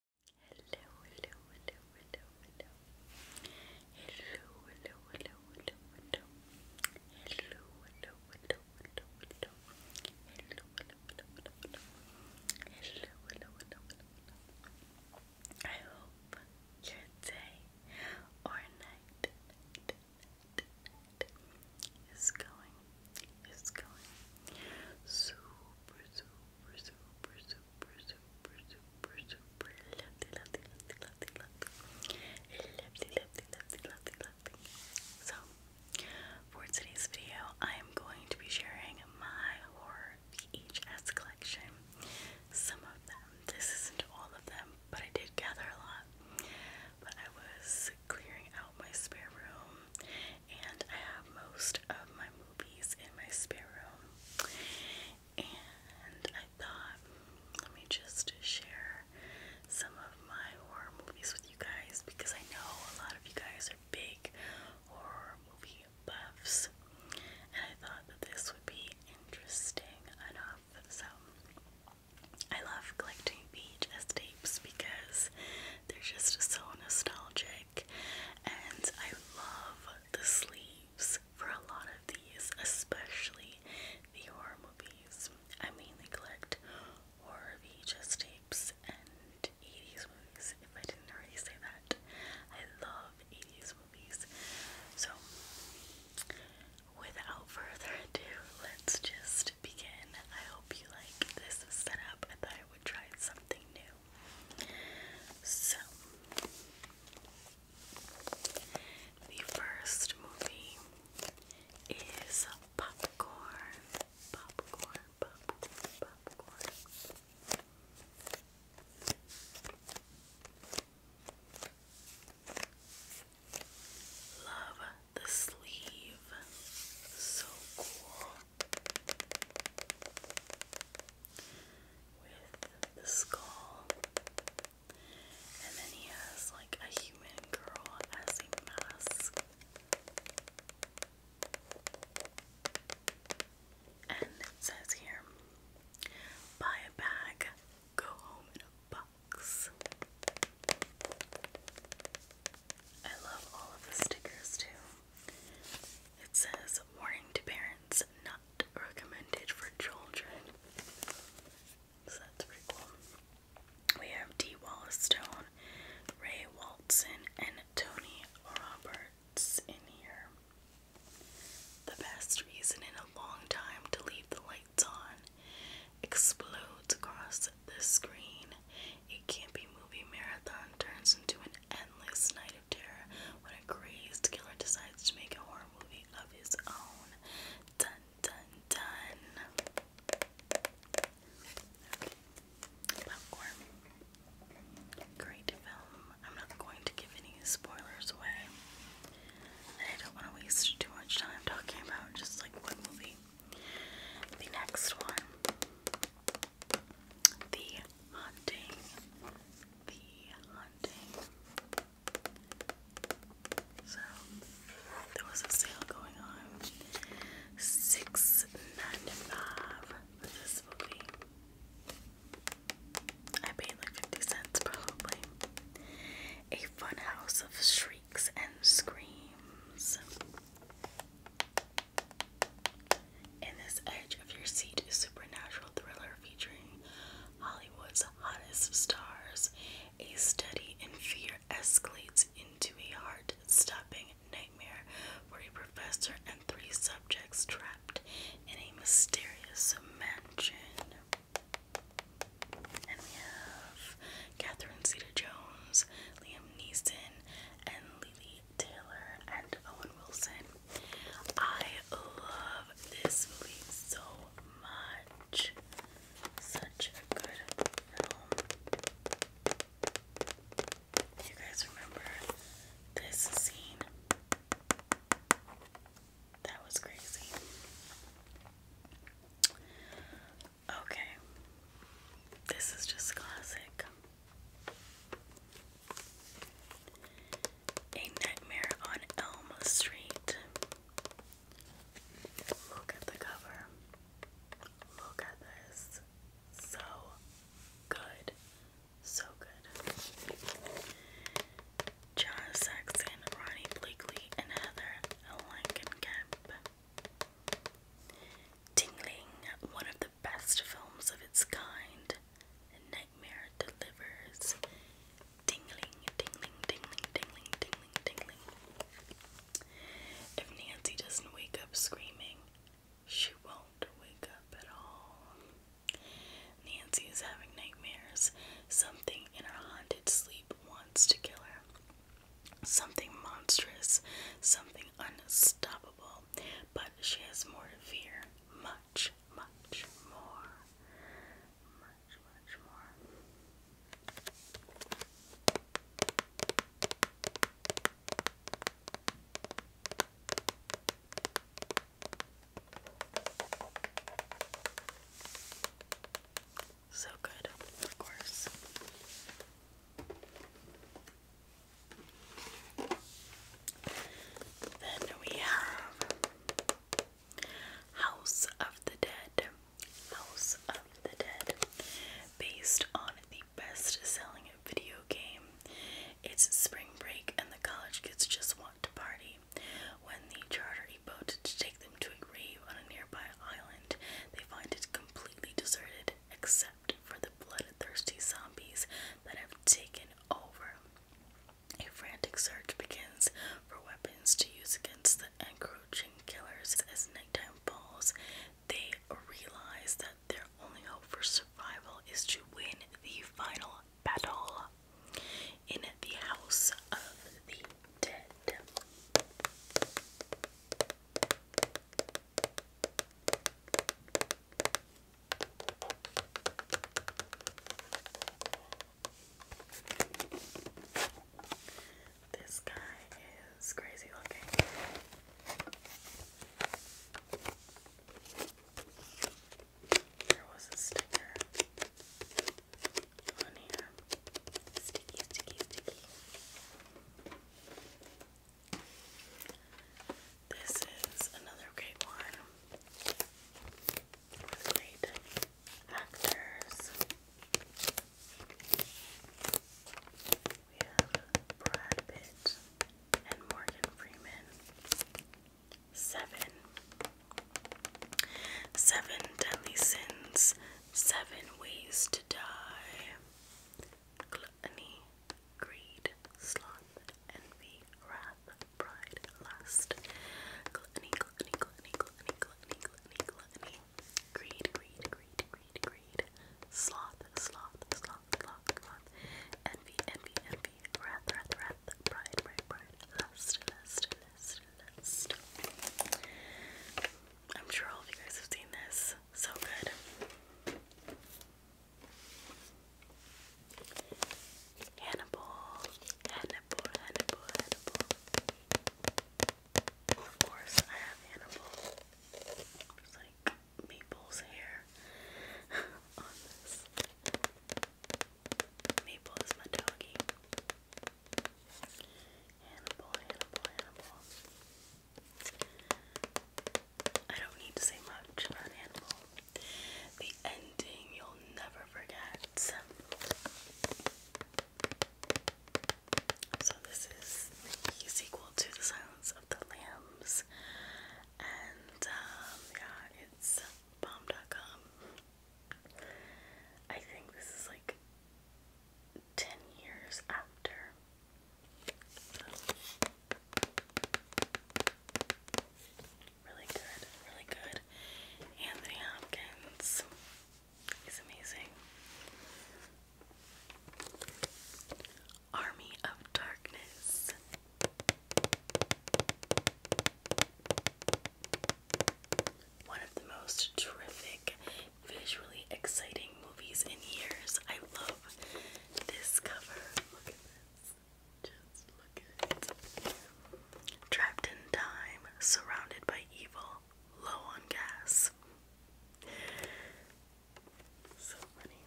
Hello, hello, hello, hello, hello. Hello, hello, hello, hello, hello. Hello, hello, hello, hello, hello. Hello, hello, hello, hello, hello. Hello, hello, hello, hello, hello. I hope your day or night, night, night, night is going, is going super, super, super, super super, super, super, super lovely, lovely, lovely, lovely, lovely, lovely, lovely, lovely, lovely, lovely. So, for today's video, I am going to be sharing my horror VHS collection. Some of them. This isn't all of them, but I did gather a lot. But I was clearing out my spare room and I have most of my movies in my spare room. And I thought, let me just share some of my horror movies with you guys because I know a lot of you guys are big horror movie buffs, and I thought that this would be interesting enough. So I love collecting VHS tapes because they're just so nostalgic and I love the sleeves for a lot of these, especially the horror movies. I mainly collect horror VHS tapes and 80s movies, if I didn't already say that. I love 80s movies. So, without further ado, let's just begin. I hope you like this setup. I thought I would try something new do. So, the first movie is Popcorn, Popcorn, Popcorn, Popcorn. Love the sleeve. So cool with the skull. And then he has like a human girl as a mask. And it says here buy a bag, go home in a box. I love all of the stickers too. It says warning to parents not recommended for children. that's pretty cool. We have D. Wallace Stone, Ray Walton, and Tony Roberts in here. The best reason in a long time to leave the lights on explodes across the screen. A campy movie marathon turns into an endless night of terror when a crazed killer decides to make a horror movie of his own. Dun dun dun. Great film. I'm not going to give any spoilers away. And I don't want to waste too much time talking about just like one movie. The next one the Haunting, The Haunting. So there was a sale going on. Six ninety five for this movie. I paid like fifty cents probably. A fun house of shrieks and screams. In this edge of your seat supernatural thriller featuring Hollywood's hottest stars. A study in fear escalates into a heart-stopping nightmare for a professor and three subjects trapped in a mysterious mansion. And we have Catherine Zeta Jones, Liam Neeson, and Lily Taylor and Owen Wilson. I love this movie so much. Such a good film. you guys remember this scene? That was crazy. Okay. This is just classic. A Nightmare on Elm Street. Look at the cover. Look at this. So good. So good. John Saxon, Ronnie Blakely, and Heather Langenkamp. Tingling, one of the best films of its kind. Nightmare delivers. Tingling, tingling, tingling, tingling, tingling, tingling. If Nancy doesn't wake up screaming, she won't wake up at all. Nancy is having nightmares. Something in her haunted sleep wants to kill her. Something monstrous, something unstoppable, but she has more to fear. Much, much more. Much, much more. So good, of course. Then we have House of the Dead. House of the Dead. Based on the best selling video game. It's spring break and the college kids just want to party. When the charter a boat to take them to a grave on a nearby island, they find it completely deserted except for the bloodthirsty zombies that have taken over. A frantic search begins for weapons to use against the encroaching killers. As nighttime falls, they realize that their only hope for survival is to win the final battle in the House of the Dead. This guy is crazy looking. There was a sticker on here. Sticky, sticky, sticky. This is another great one with great actors. We have Brad Pitt and Morgan Freeman. Seven. Seven deadly sins. Seven ways to die. Glow Gluttony, greed, sloth, envy, wrath, pride, lust. Greed, greed, greed, greed, greed. Sloth, sloth, sloth, sloth, sloth. Envy, envy, envy. Wrath, wrath, wrath. Pride, pride, pride. Lust, lust, lust, lust. I'm sure all of you guys have seen this. So good. Hannibal, Hannibal, Hannibal, Hannibal. Of course, I have Hannibal. There's like Maple's hair on this. Maple is my doggy. Hannibal, Hannibal, Hannibal. I don't need to say much about Hannibal. The ending you'll never forget. So, this is the sequel to The Silence of the Lambs. And, um, yeah, it's bomb.com. I think this is like 10 years after Really good, really good. Anthony Hopkins. He's amazing. Army of Darkness. One of the most terrific visually exciting movies in years. I love this cover. Look at this. Just look at it. Trapped in time, surrounded by evil, low on gas. So funny.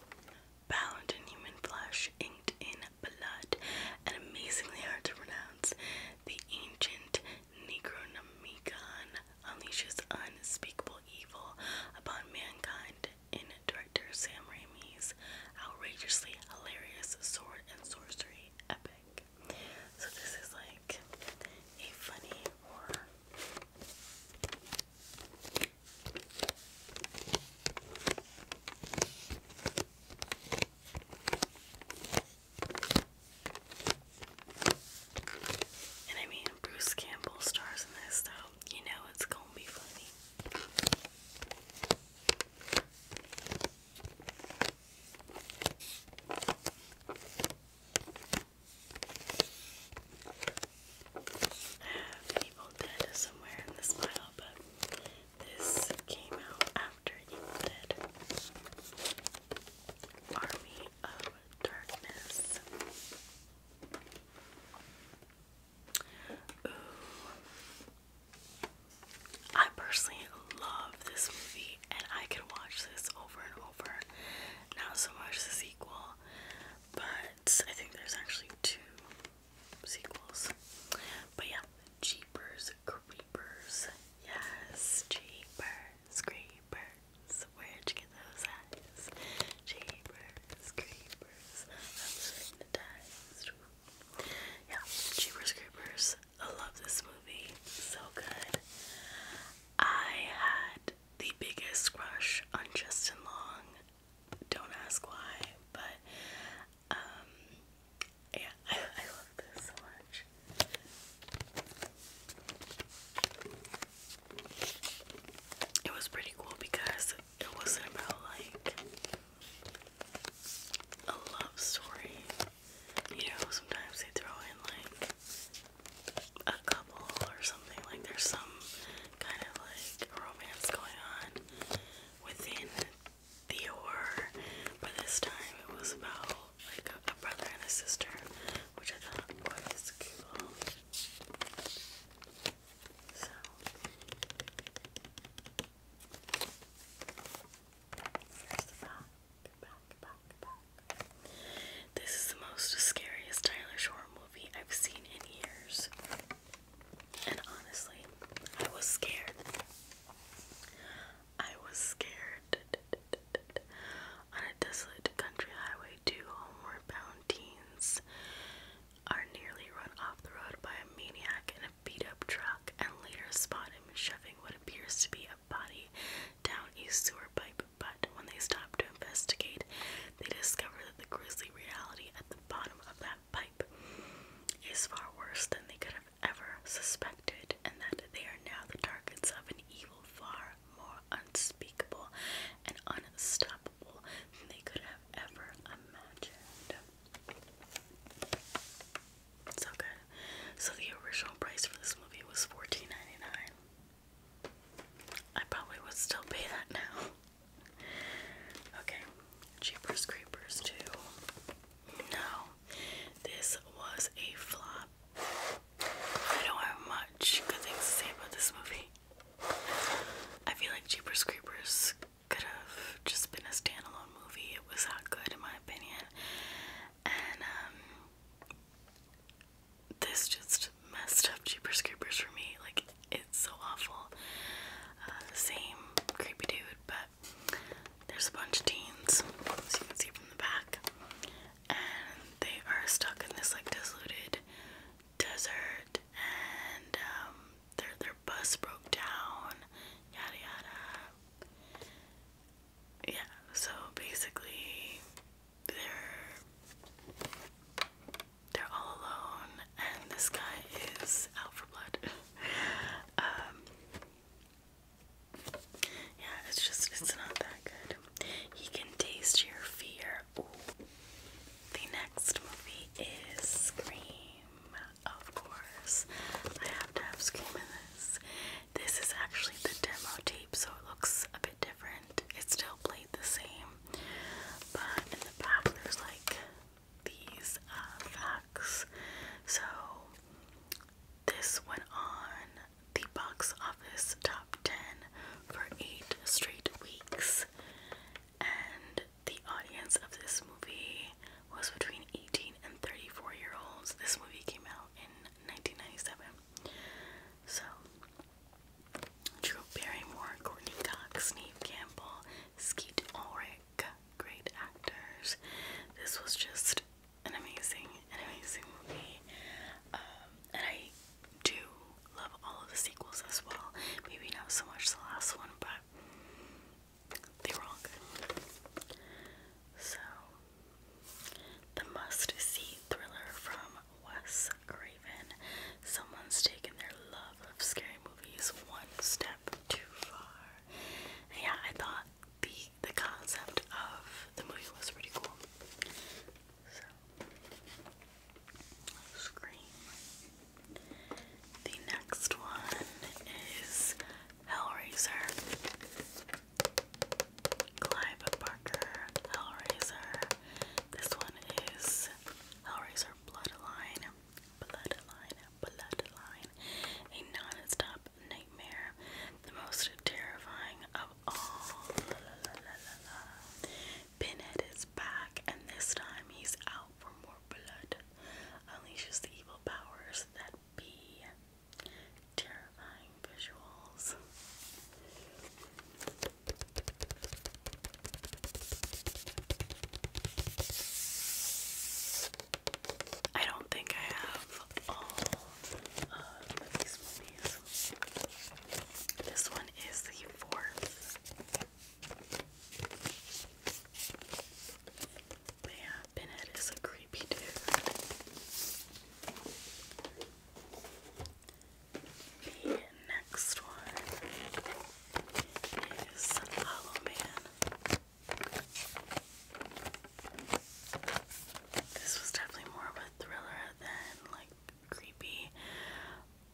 Bound in human flesh, inked in blood, and amazingly hard to pronounce, the ancient Necronomicon unleashes unspeakable evil upon mankind in director Sam Raimi's outrageously hilarious sword and sorcery epic. So this is like a funny and I mean, Bruce Campbell stars in this, so you know it's gonna be funny. I have Evil Dead somewhere in this pile, but this came out after Evil Dead. Army of Darkness. I personally love this movie and I could watch this over and over. Not so much the sequel, but I think there's actually two sequels. But yeah, Jeepers Creepers. Yes, Jeepers creepers. Where'd you get those eyes? Jeepers, creepers. I'm hypnotized. Yeah, Jeepers, creepers. I love this movie. So good. I had the biggest crush on Justin Long. Don't ask why, but um, yeah, I, I love this so much it was pretty cool because it wasn't about like a love story. You know, sometimes they throw in like a couple or something, like there's some kind of like romance going on within the but this time it was about like a, brother and a sister, which I thought was cool. This is the most scariest Tyler Shore movie I've seen in years. And honestly, I was scared. I was scared. On a desolate country highway, two homeward bound teens are nearly run off the road by a maniac in a beat up truck and later spot him shoving what appears to be a body down a sewer pipe. But when they stop to investigate, they discover that the grisly reality at the bottom of that pipe is far worse than they could have ever suspected, and that they are now the targets of an evil, far more unspeakable and unstoppable than they could have ever imagined. So good. So the original price for this movie was 14 I probably would still pay that now. Okay, Jeepers Creepers 2. No, this was a flop. I don't have much good things to say about this movie. I feel like Jeepers Creepers could have just been a standalone movie. It was not good, in my opinion. And, um, this just messed up Jeepers Creepers for me. Like, it's so awful. Uh, same creepy dude, but there's a bunch of teens, as you can see from the back and they are stuck in this like desolated desert and um, their their bus broke down yada yada yeah so basically they're they're all alone and this guy is out for blood um, yeah it's just it's not that good you can taste your fear. The next movie is Scream. Of course, I have to have Scream in this. This is actually the demo tape, so it looks a bit different. It's still played the same, but in the back there's like these uh, facts. So this went on the box office top 10 for 8 straight weeks, and the audience of this movie was between 18 and 34 year olds. This movie came out in 1997. So, Drew Barrymore, Courtney Cox, Neve Campbell, Skeet Ulrich, great actors. This was just an amazing, amazing movie. Um, and I do love all of the sequels as well. Maybe not so much the last one, but they were all good. So, the must-see thriller from Wes Craven. Someone's taken their love of scary movies one step too far. yeah, I thought the the concept of the movie was pretty cool. So, Scream. The next one is Hellraiser. Clive Barker Hellraiser. This one is Hellraiser Bloodline. Bloodline, Bloodline. A non nightmare. The most terrifying have oh, all is back and this time he's out for more blood. Unleashes the evil powers that be. Terrifying visuals. I don't think I have um, this one is the fourth. yeah, Bennett is a creepy dude. The next one is Hollow Man. This was definitely more of thriller than like creepy.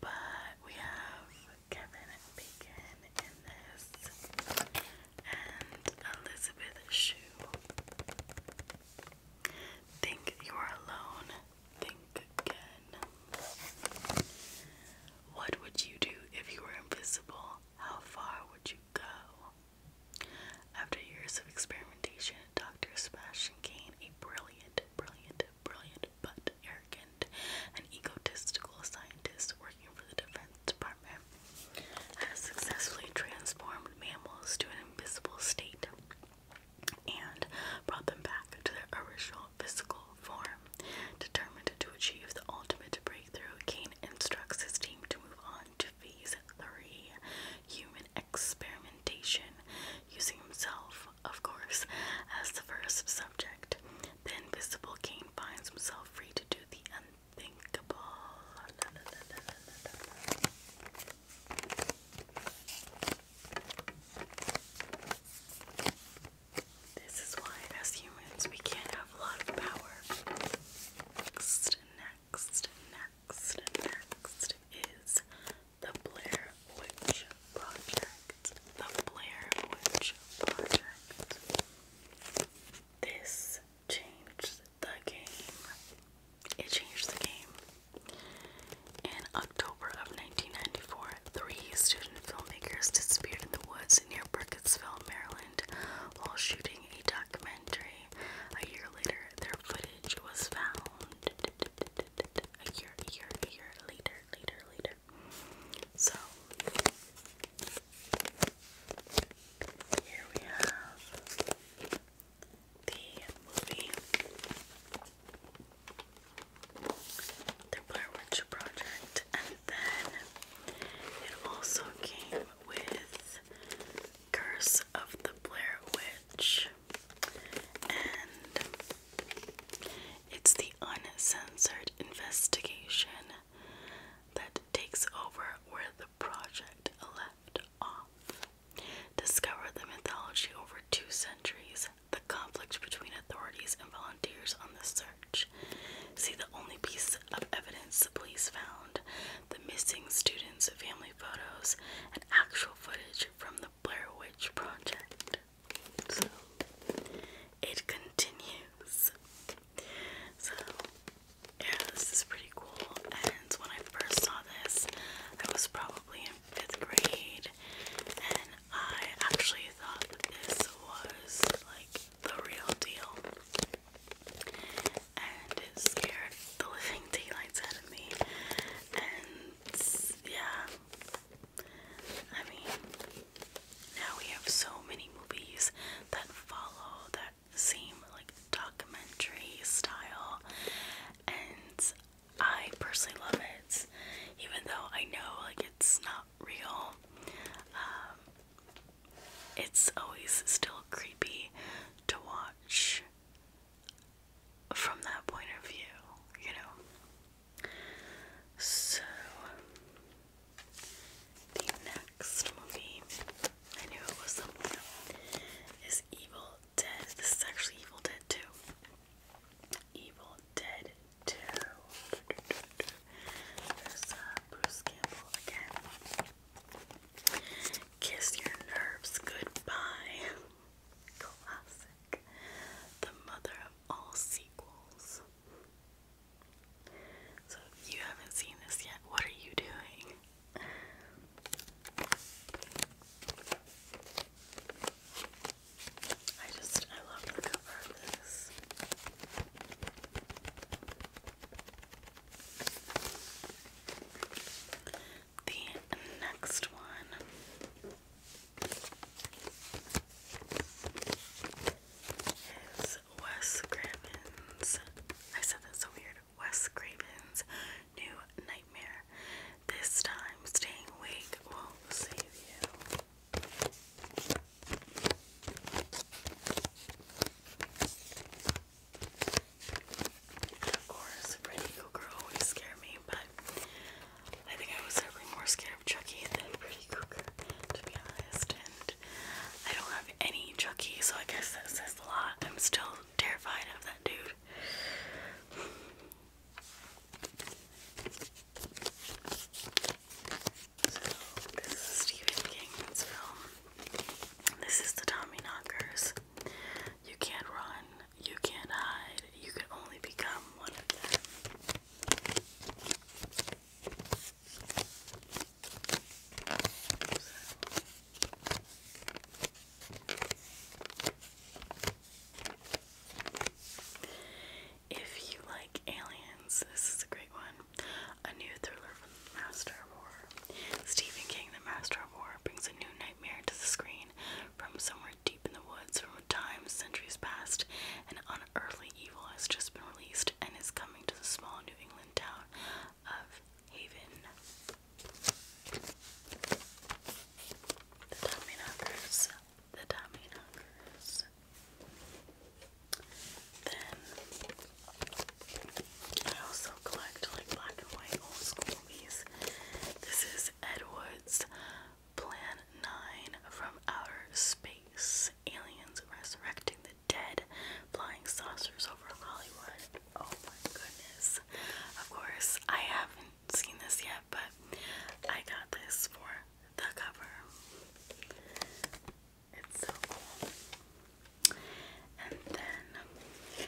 But we have Kevin Bacon in this and Elizabeth Shue. Think you're alone. Think again. What would you do if you were invisible? How far would you go? After years of experimentation, Dr. Sebastian Kane, a brilliant, brilliant, brilliant, but arrogant and egotistical scientist working for the Defense Department, has successfully transformed mammals to an invisible state and brought them back to their original physical form. Determined to achieve the ultimate breakthrough, Kane instructs his team to move on to phase three human experimentation, using himself, of course, as the first subject. The invisible Kane finds himself free to do the unthinkable. This is why, as humans, we can't have a lot of power. Next, next, next, next is the Blair Witch Project. The Blair Witch Project. This changed the game. It changed the game. In October of 1994, three student filmmakers disappeared in the woods near Burkittsville, Maryland, while shooting a documentary. A year later, their footage was found. A year, year, year later, later, later. So, here we have the movie. The Blair Witch Project, and then it also came with Curse of the Blair Witch, and it's the uncensored investigation that takes over where the project left off. Discover the mythology over two centuries, the conflict between authorities and volunteers on the search. See the only piece of evidence the police found the missing students, family photos and actual footage from the Blair Witch Project. So it continues. So yeah, this is pretty cool. And when I first saw this, I was probably in fifth grade, and I actually thought this was like the real deal and it scared the living daylights out of me. And yeah, I mean, now we have so many movies that follow that same like documentary style, and I personally love it, even though I know like it's not real. Um, it's always still creepy to watch from that point of view, you know. So, the next movie, I knew was somewhere, is Evil Dead. This is actually Evil Dead 2. Evil Dead 2. There's uh, Bruce Campbell again. Kiss Your Nerves Goodbye. Classic. The mother of all sequels. So you haven't seen this yet, what are you doing? I just, I love the cover of this. The next one is Wes Craven's. I said that's so weird. Wes Craven's new nightmare. This time, staying awake will save you of course, Pretty Google always scare me, but I think I was ever more scared of Chucky than Pretty Google, to be honest. And I don't have any Chucky, so I guess that says a lot. I'm still terrified of that dude. So, this is Stephen King's film. This is the Tommy Knockers. You can't run, you can't hide, you can only become one of them. If you like aliens, this is a great one. A new thriller Master of Horror. Stephen King, the Master of War, brings a new nightmare to the screen from somewhere deep in the woods from a time centuries past. An unearthly evil has just been released and is coming to the small New England town of Haven. The Tommy The Tommy I also collect like black and white old school This is Edwards Plan 9 from Outer Space Aliens Resurrecting the Dead Flying Saucers over Hollywood. Oh my goodness. Of course, I haven't seen this yet, but I got this for the cover. It's so cool. And then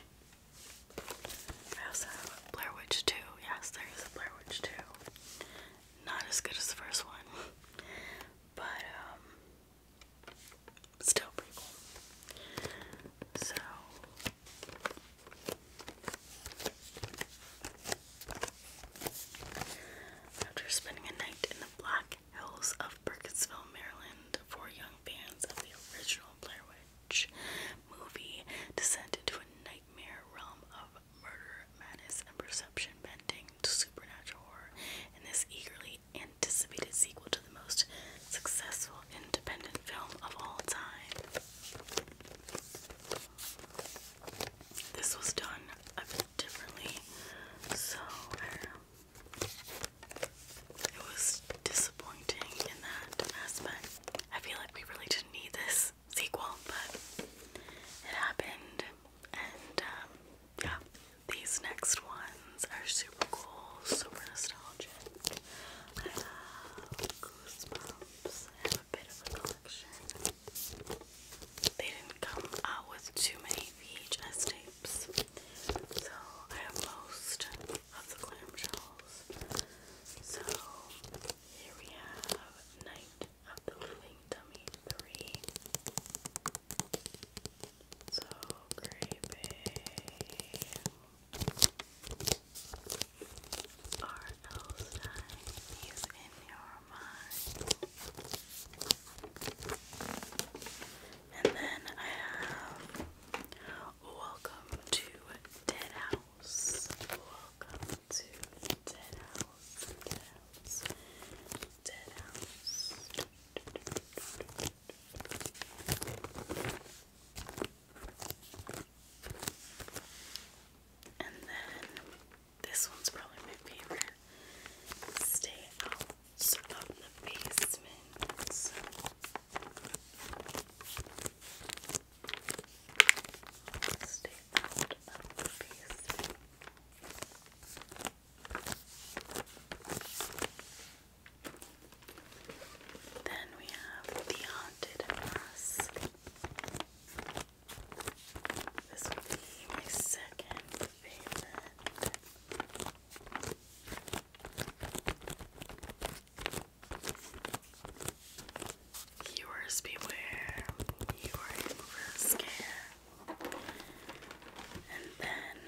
I also have Blair Witch 2. Yes, there is Blair Witch 2. Not as good as the first one, but um, still pretty cool. So. After spending a night in the Black Hills of Burkittsville, Maryland, for young fans of the original Blair Witch movie descend into a nightmare realm of murder, madness, and perception bending to supernatural horror in this eagerly anticipated sequel to the most successful independent film of all time. This was done a bit differently, so it was disappointing in that aspect. I feel like we really didn't need this sequel, but it happened. And um, yeah, these next ones are super cool, super nostalgic. I Goosebumps. have a bit of a collection. They didn't come out with too many VHS tapes. So I have most of the clamshells. So here we have Night of the Living Dummy 3. So creepy. R.L. Stein, he's in your mind. And then I have Welcome to Dead Welcome to Dead House. Dead And then this one's probably my favorite. Stay out Stay out of the basement. Then we have the haunted mask. This will be my second favorite. Yours beware, you are in for a And then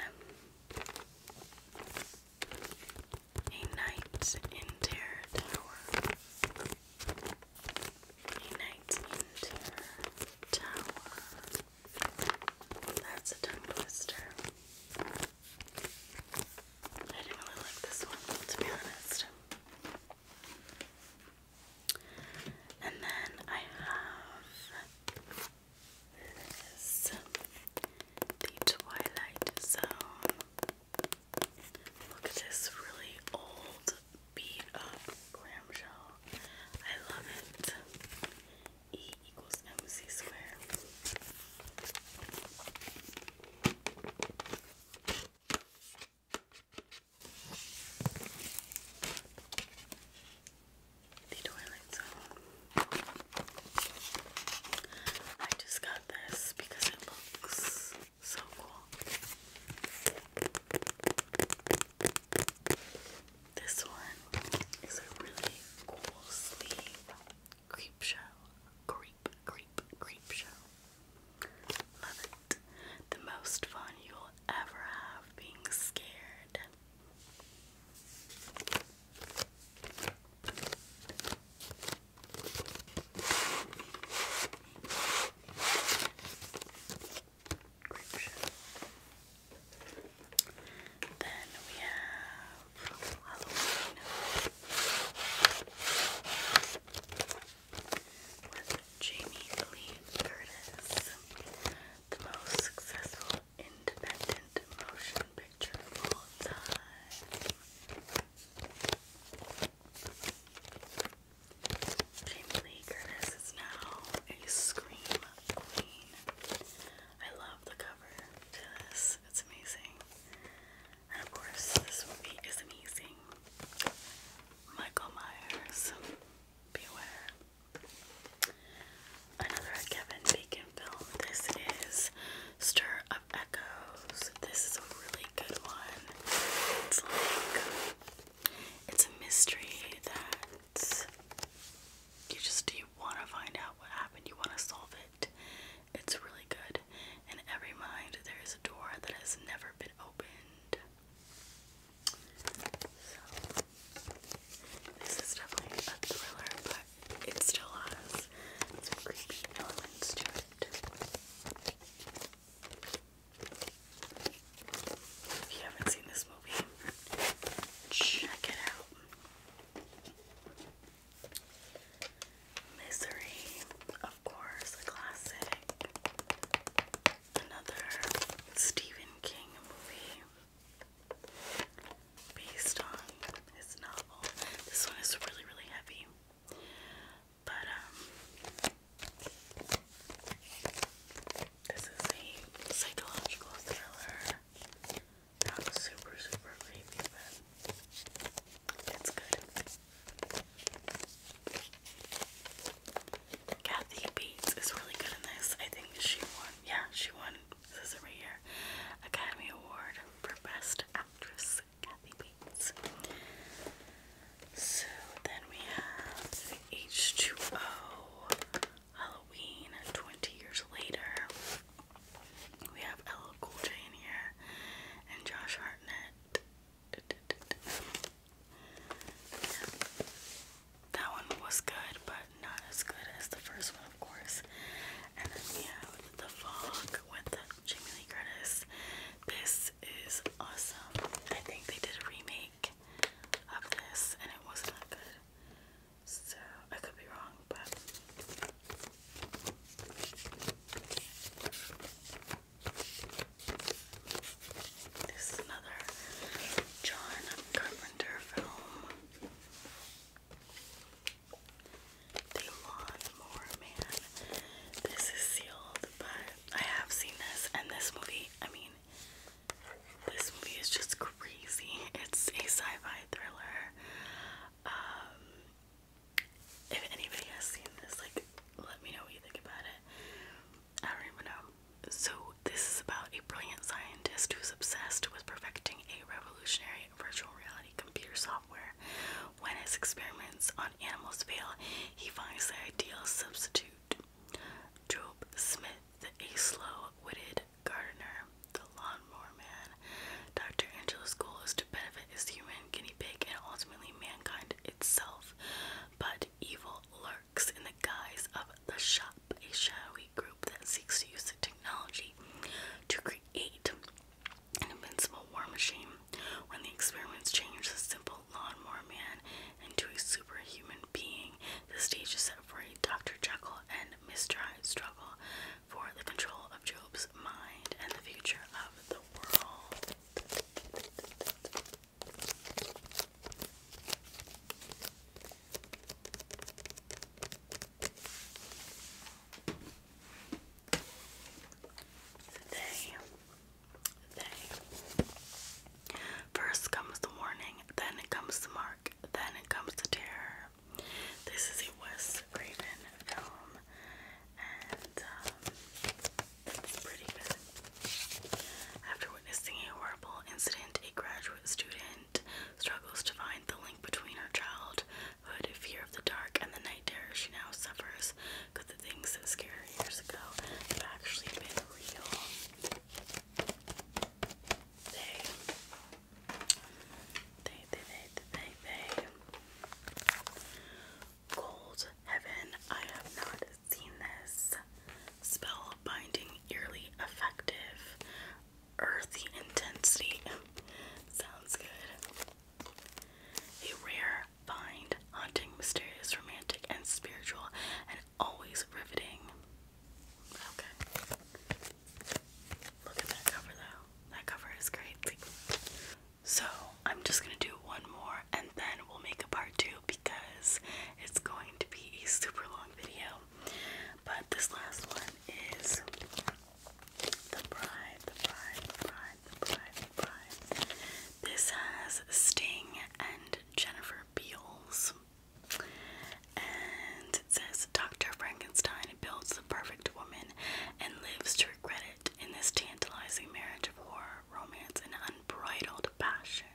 a night in Terror Tower. A night in Terror Tower. That's a tongue twister. I didn't really like this one, to be honest. And then I have this The Twilight Zone. Look at this really old beat up clamshell. I love it. E equals mc squared. The toilet zone. I just got this because it looks so cool. This one is a really cool sleep Creep show. Creep, creep, creep show. Love it. The most fun you'll ever have being scared. Then we have Halloween with Jamie Lee Curtis, the most successful independent motion picture of all time. Jamie Lee Curtis is now a scream queen. I love the cover to this. It's amazing. And of course, this movie is amazing. Michael Myers, beware. Another Kevin Bacon film. This is Stir of Echoes. This is a really good one. It's like it's a mystery that you just you want to find out what happened. You want to solve it. It's really good. In every mind, there is a door that has never been opened. So, this is definitely a thriller, but it still has some creepy elements to it. If you haven't seen this movie, check it out. Misery, of course, a classic. Another Stephen King movie based on his novel. This one is really, really heavy. But, um, this is a psychological thriller. Not super, super creamy, but it's good. Kathy Bates is really good in this. I think she won. Yeah, she won. This is right here. Academy Award for Best Actress, Kathy Bates. So then we have H2O Halloween 20 years later. We have LL Cool here and Josh Hartnett. That one was good, but not as good as the first one, of course. And then we have The Fog with Jamie Lee Curtis. This is awesome. I think they did a remake of this, and it wasn't good. So I could be wrong, but this is another John Carpenter film. The Lawnmower Man. This is sealed, but I have seen this and this movie, I mean, this movie is just crazy. It's a sci-fi thriller. Um, if anybody has seen this, like, let me know what you think about it. I don't even know. So this is about a brilliant scientist who's obsessed with perfecting a revolutionary virtual reality computer software. When his experiments on animals fail, he finds the ideal substitute. Job Smith, a slow-witted Gardner, the lawnmower man. Dr. Angela's goal is to benefit his human guinea pig and ultimately mankind itself. But evil lurks in the guise of the shop, a shadowy group that seeks to use the technology to create an invincible war machine. When the experiments change the simple lawnmower man into a superhuman being, the stage is set for Dr. Jekyll and Mr. Hyde struggle for the control of Job's mind and the future of the world. First comes the warning, then it comes the mark, then it comes the terror. This is a Wes Craven film, and um, pretty good. After witnessing a horrible incident, a graduate student struggles to find the link between her childhood fear of the dark and the night terror she now suffers because the things that scared years ago have actually been real. Gold Heaven. I have not seen this. Spell binding, eerily effective. Earthy intensity. Sounds good. A rare find, haunting, mysterious, romantic, and spiritual, always riveting. Okay. Look at that cover though. That cover is great. So I'm just gonna do one more and then we'll make a part two because it's going to be a super long video. But this last one is the bride, the bride, the bride, the bride, the bride. This has Sting and Jennifer Beals. And it says Dr. Frankenstein builds the perfect woman and lives to regret it in this tantalizing marriage of horror, romance, and unbridled passion.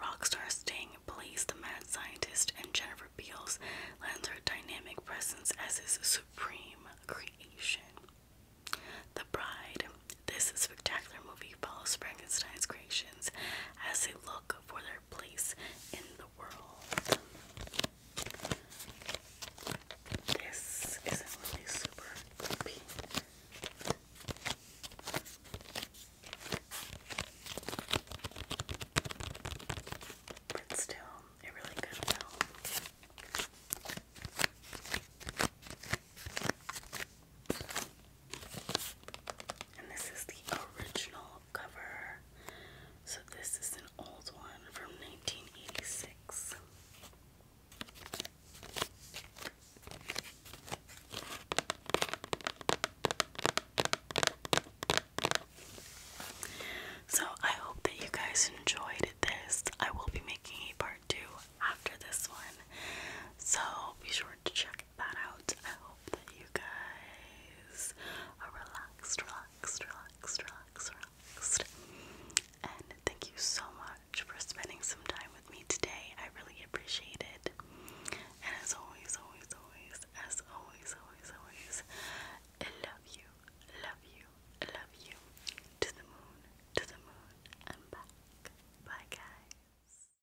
rock star Sting plays the mad scientist, and Jennifer Beals lends her dynamic presence as his supreme creation. The Bride. This spectacular movie follows Frankenstein's creations as they for their place in the world. This isn't really super creepy. But still, a really good film. And this is the original cover. So this is an old one from 1986. So I hope that you guys enjoyed this. I will be making a part 2 after this one. So be sure to check that out. I hope that you guys are relaxed, relaxed, relaxed, relaxed, relaxed. And thank you so much for spending some time with me today. I really appreciate it. And as always, always, always, as always, always, always, I love you, love you, love you. To the moon, to the moon, and back. Bye, guys.